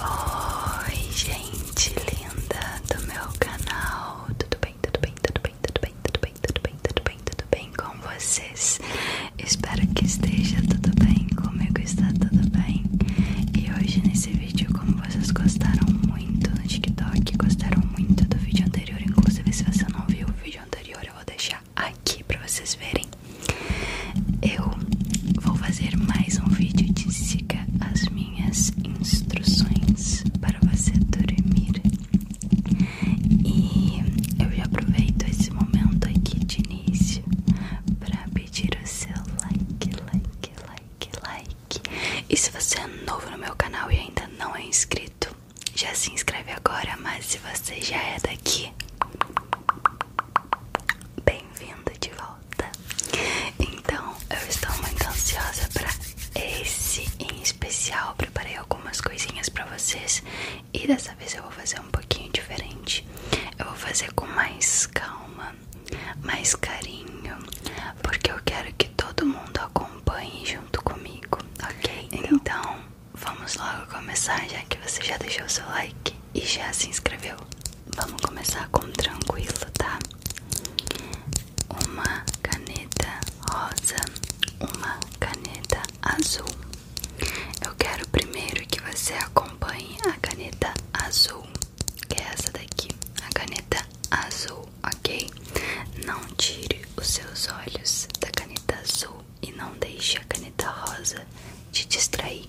Oi, gente linda do meu canal. Tudo bem, tudo bem, tudo bem, tudo bem, tudo bem, tudo bem, tudo bem, tudo bem com vocês? Espero que esteja tudo bem. Comigo está tudo bem. E hoje nesse vídeo, como vocês gostaram muito no TikTok, gostaram muito do vídeo anterior, inclusive se você não viu o vídeo anterior, eu vou deixar aqui para vocês verem eu vou fazer mais um vídeo de siga as minhas instruções para você dormir. E eu já aproveito esse momento aqui de início para pedir o seu like, like, like, like. E se você é novo no meu canal e ainda não é inscrito, já se inscreve agora, mas se você já é daqui, bem bem vinda de volta. Então, eu estou muito ansiosa para esse em especial. Preparei algumas coisinhas para vocês e dessa vez eu vou fazer um pouquinho diferente. Eu vou fazer com mais calma, mais carinho, porque eu quero que todo mundo acompanhe junto comigo, ok? Então, então vamos logo começar, já que você já deixou seu like e já se inscreveu. Vamos começar com tranquilo, tá? Uma caneta rosa, uma caneta azul. Eu quero primeiro que você acompanhe a caneta azul, que é essa daqui, a caneta azul, ok? Não tire os seus olhos da caneta azul, e não deixe a caneta rosa te distrair.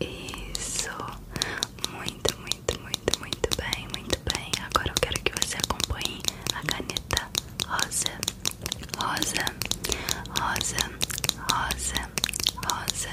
Isso, muito, muito, muito, muito bem, muito bem. Agora eu quero que você acompanhe a caneta rosa, rosa, rosa, rosa, rosa. Rosa,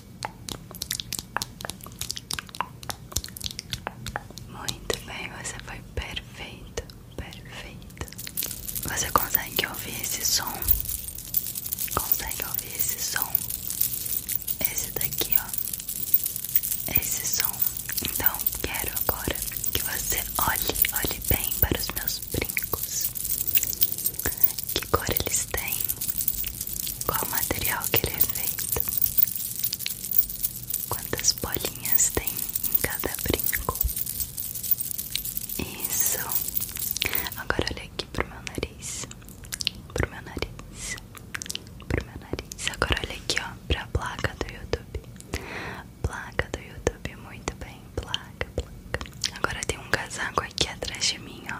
Muito bem, você foi perfeito, perfeito. Você consegue ouvir esse som? Consegue ouvir esse som? Esse daqui, ó. Esse som. Então, quero agora que você olhe, olhe bem para os meus brincos que cor eles têm, qual material que ele é feito, quantas bolinhas tem em cada brinco. Isso. Agora olha aqui pro meu nariz, pro meu nariz, pro meu nariz. Agora olha aqui ó, pra placa do YouTube, placa do YouTube, muito bem, placa, placa. Agora tem um casaco aqui atrás de mim, ó.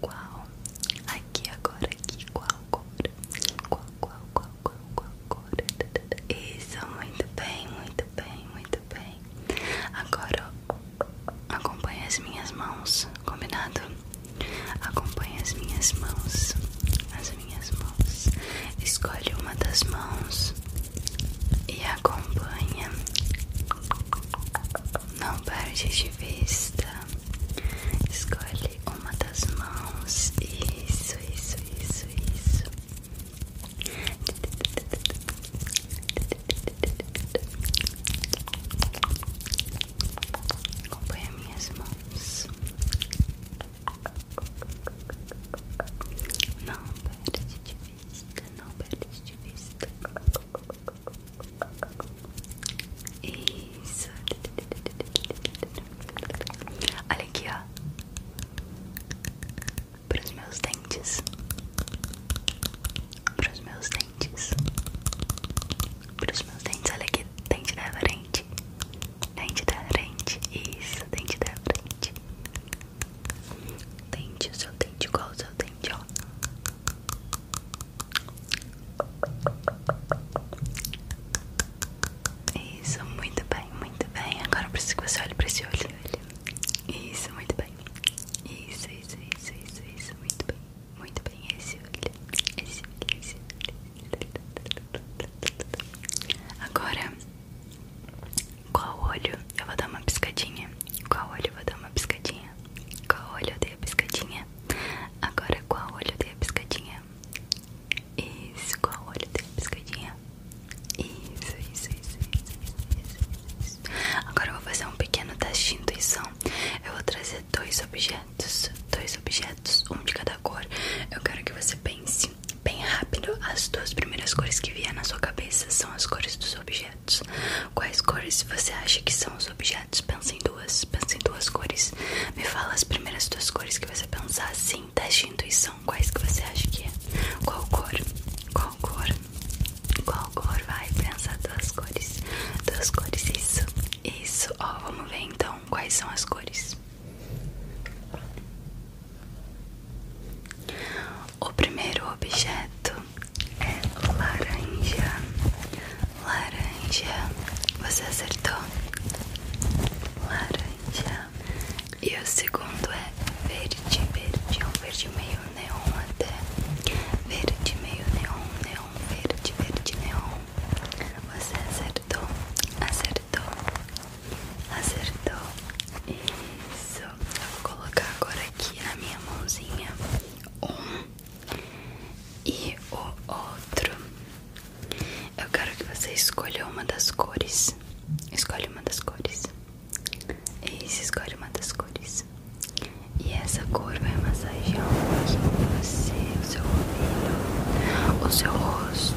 Qual? Aqui agora, aqui, qual agora? Qual, qual, qual, qual, qual agora? Isso, muito bem, muito bem, muito bem. Agora acompanha as minhas mãos, combinado? Acompanha as minhas mãos, as minhas mãos. Escolhe uma das mãos e acompanha não perde de vista. Escolhe uma das mãos. Isso, isso, isso, isso. Acompanha minhas mãos. Não perde de vista, não perde de vista. Isso. Olha aqui, ó. Para os meus dentes. Para os meus dentes. Para os meus dentes. Olha aqui, dente da frente. Dente da frente. Isso, dente da frente tente o seu dente, igual o seu dente, ó. Isso, muito bem, muito bem. Agora eu preciso que você olhe pra esse olho. Isso, muito bem. isso, isso, isso, isso, muito bem. Muito bem, esse olho. Esse olho, esse olho. Agora qual olho eu vou dar uma piscadinha? Qual olho eu vou dar uma piscadinha? Qual olho eu dei a piscadinha? Agora qual olho eu dei a piscadinha? Isso, qual olho eu dei a piscadinha? Isso, isso, isso, isso, isso, isso. Agora eu vou fazer um pequeno teste de intuição. Eu vou trazer dois objetos, dois objetos, um de cada cor. Eu quero que você pense bem rápido. As duas primeiras cores que vier na sua cabeça são as cores dos objetos. Quais cores você acha que são os objetos? Pensa em duas, pensa em duas cores. Me fala as primeiras duas cores que você pensar assim, teste de intuição. Quais que você acha que é? Qual cor? Qual cor? Qual cor? Vai, pensar duas cores. Duas cores, isso. Isso. Ó, vamos ver então quais são as cores. O primeiro objeto é laranja. Laranja. Você acertou? Laranja. E o segundo é verde, verde, um verde meio neon até. Verde meio neon, neon, verde, verde, neon. Você acertou? Acertou. Acertou. Isso. Eu vou colocar agora aqui na minha mãozinha um e o outro. Eu quero que você escolha uma das cores. Escolhe uma das cores. Isso, escolhe uma das cores. E essa cor vai massagear um pouquinho você, o seu ouvido, o seu rosto.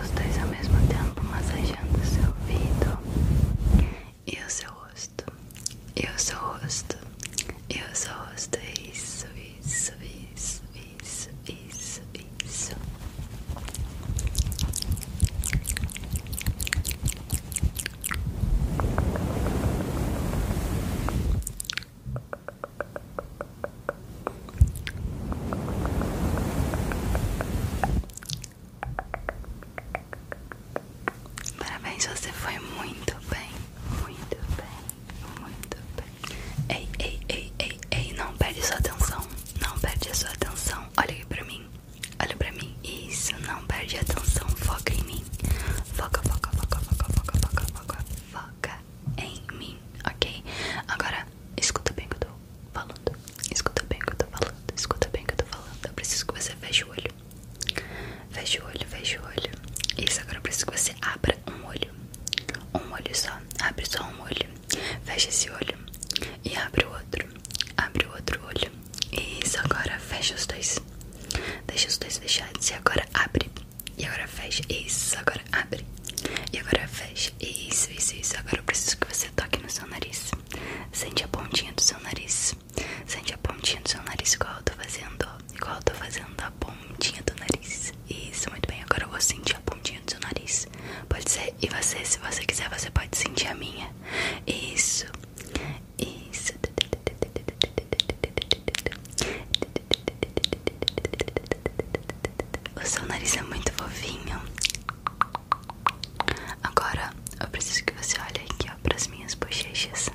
Os dois ao mesmo tempo massageando o seu ouvido e o seu rosto. E o seu rosto. E o seu rosto. Isso, isso, isso, isso, isso, isso. Parabéns, você foi muito bem, muito bem, muito bem. Ei, ei, ei, ei, ei, não perde sua atenção, não perde a sua atenção. Olha aqui pra mim, olha pra mim. Isso, não perde a atenção, foca em Foca, foca, foca, foca, foca, foca, foca, em mim, ok? Agora, escuta bem que eu tô falando. Escuta bem que eu tô falando. Escuta bem que eu tô falando. Eu preciso que você feche o olho. Feche o olho, feche o olho. Isso, agora eu preciso que você abra um olho. Um olho só. Abre só um olho. feche esse olho. E abre o outro. Abre o outro olho. Isso, agora fecha os dois. Deixa os dois fechados. E agora abre. E agora fecha. Isso, agora abre. E agora fecha. Isso, isso, isso. Agora eu preciso que você toque no seu nariz. Sente a pontinha do seu nariz. Sente a pontinha do seu nariz, igual eu tô fazendo. Igual eu tô fazendo a pontinha do nariz. Isso, muito bem. Agora eu vou sentir a pontinha do seu nariz. Pode ser. E você, se você quiser, você pode sentir a minha. Isso. Isso. O seu nariz é muito fofinho. Agora eu preciso que você olhe aqui, ó, para as minhas bochechas.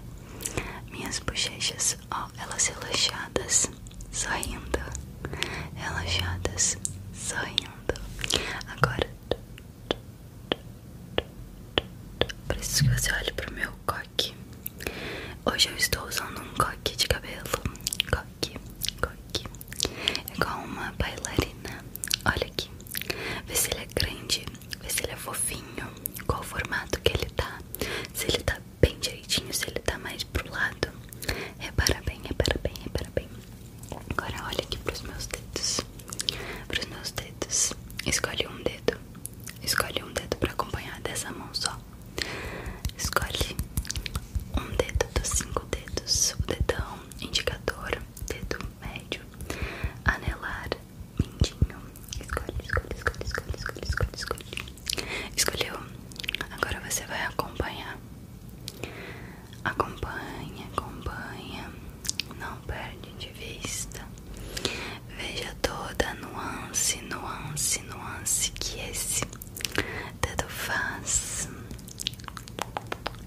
Minhas bochechas, ó, elas relaxadas, sorrindo. Relaxadas, sorrindo. Agora Preciso que você olhe pro meu coque. Hoje eu estou usando um coque de cabelo. Coque, coque. É igual uma bailarina. Olha aqui. Vê se ele é grande, vê se ele é fofinho, qual o formato que ele tá. Se ele tá bem direitinho, se ele tá mais pro lado. Repara bem, repara bem, repara bem. Agora olha aqui pros meus dedos para os meus dedos. Escolhe um dedo. Escolhe um dedo para acompanhar dessa mão só. Escolhe um dedo dos cinco dedos: o dedão, indicador, dedo médio, anelar, mindinho. Escolhe, escolhe, escolhe, escolhe, escolhe, escolhe, escolhe. Escolheu. Agora você vai acompanhar. Acompanha, acompanha. Não perde vista. Veja toda a nuance, nuance, nuance que esse dedo faz.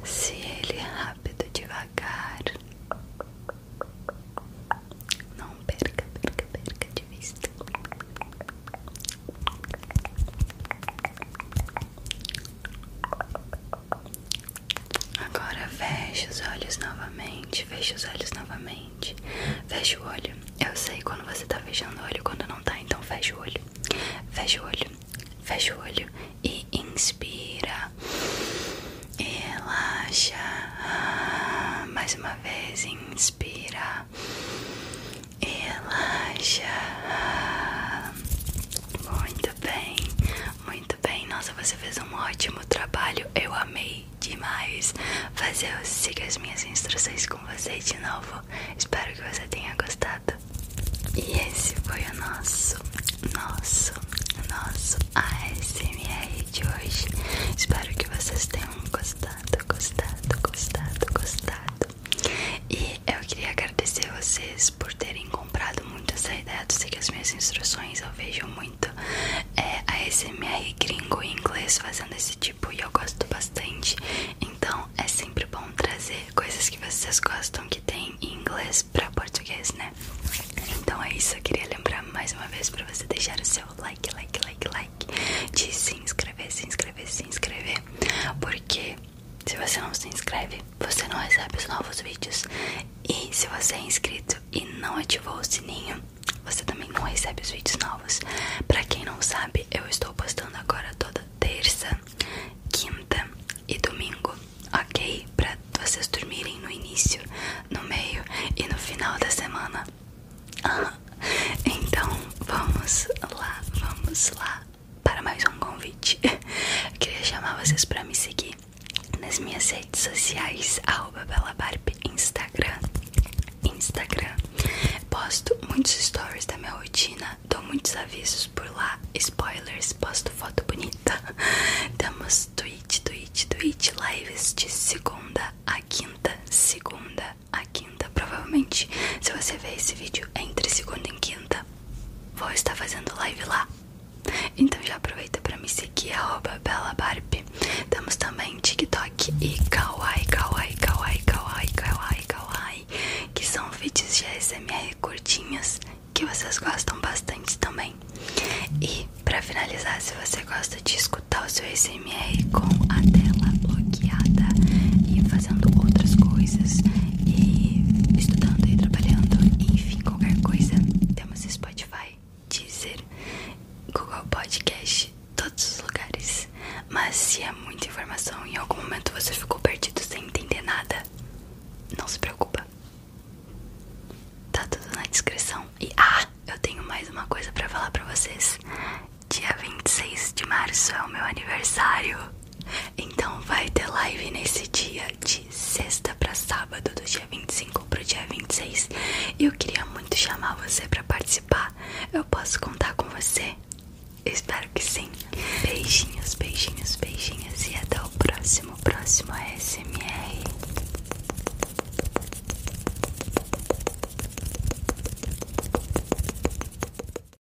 Se ele é rápido, devagar. Não perca, perca, perca de vista. Agora fecha os olhos novamente. Fecha os olhos novamente. Fecha o olho. Eu sei quando você tá fechando o olho, quando não tá, então fecha o olho. Fecha o olho. Fecha o olho e inspira. Relaxa. Mais uma vez, inspira. Relaxa. Muito bem. Muito bem, nossa, você fez um ótimo trabalho. Eu amei demais fazer eu seguir as minhas instruções com você de novo. Espero que você tenha gostado. E esse foi o nosso, nosso, nosso ASMR de hoje. Espero que vocês tenham gostado, gostado, gostado, gostado. E eu queria agradecer vocês por terem comprado muito essa ideia de seguir as minhas instruções. Eu vejo muito é, a SMR gringo em inglês fazendo esse tipo e eu gosto bastante. Então é sempre bom trazer coisas que vocês gostam que tem em inglês para português, né? Então é isso. Eu queria lembrar mais uma vez para você deixar o seu like, like, like, like, de se inscrever, se inscrever, se inscrever, porque se você não se inscreve, você não recebe os novos vídeos. E se você é inscrito e não ativou o sininho, você também não recebe os vídeos novos. Para quem não sabe, eu estou postando agora toda terça, quinta e domingo, ok? Para vocês dormirem no início, no meio e no final da semana. então vamos lá, vamos lá para mais um convite. Eu queria chamar vocês para me seguir nas minhas redes sociais, arroba belabarb, Instagram, Instagram. Posto muitos stories da minha rotina, dou muitos avisos por lá, spoilers, posto foto bonita. Temos tweet, tweet, tweet, lives de segunda a quinta, segunda a quinta. Provavelmente, se você ver esse vídeo entre segunda e quinta, Vou estar fazendo live lá. Então já aproveita para me seguir @belabarb. Temos também TikTok e Kawaii, Kawaii, Kawaii, Kawaii, Kawaii, Kawaii, que são vídeos de SMR curtinhos que vocês gostam bastante também. E para finalizar, se você gosta de escutar o seu SMR com a tela bloqueada e fazendo outras coisas e estudando e trabalhando, enfim, qualquer coisa. Temos Spotify, Deezer, Google Podcast, todos os lugares. Mas se é muita informação e em algum momento você ficou perdido sem entender nada, não se preocupa. Tá tudo na descrição. E ah, eu tenho mais uma coisa para falar para vocês. Dia 26 de março é o meu aniversário. Então vai ter live nesse dia de sexta para sábado, do dia 25 pro dia 26. E eu queria muito chamar você para participar. Eu posso contar com você? espero que sim. Beijinhos, beijinhos, beijinhos e até o próximo, próximo ASMR.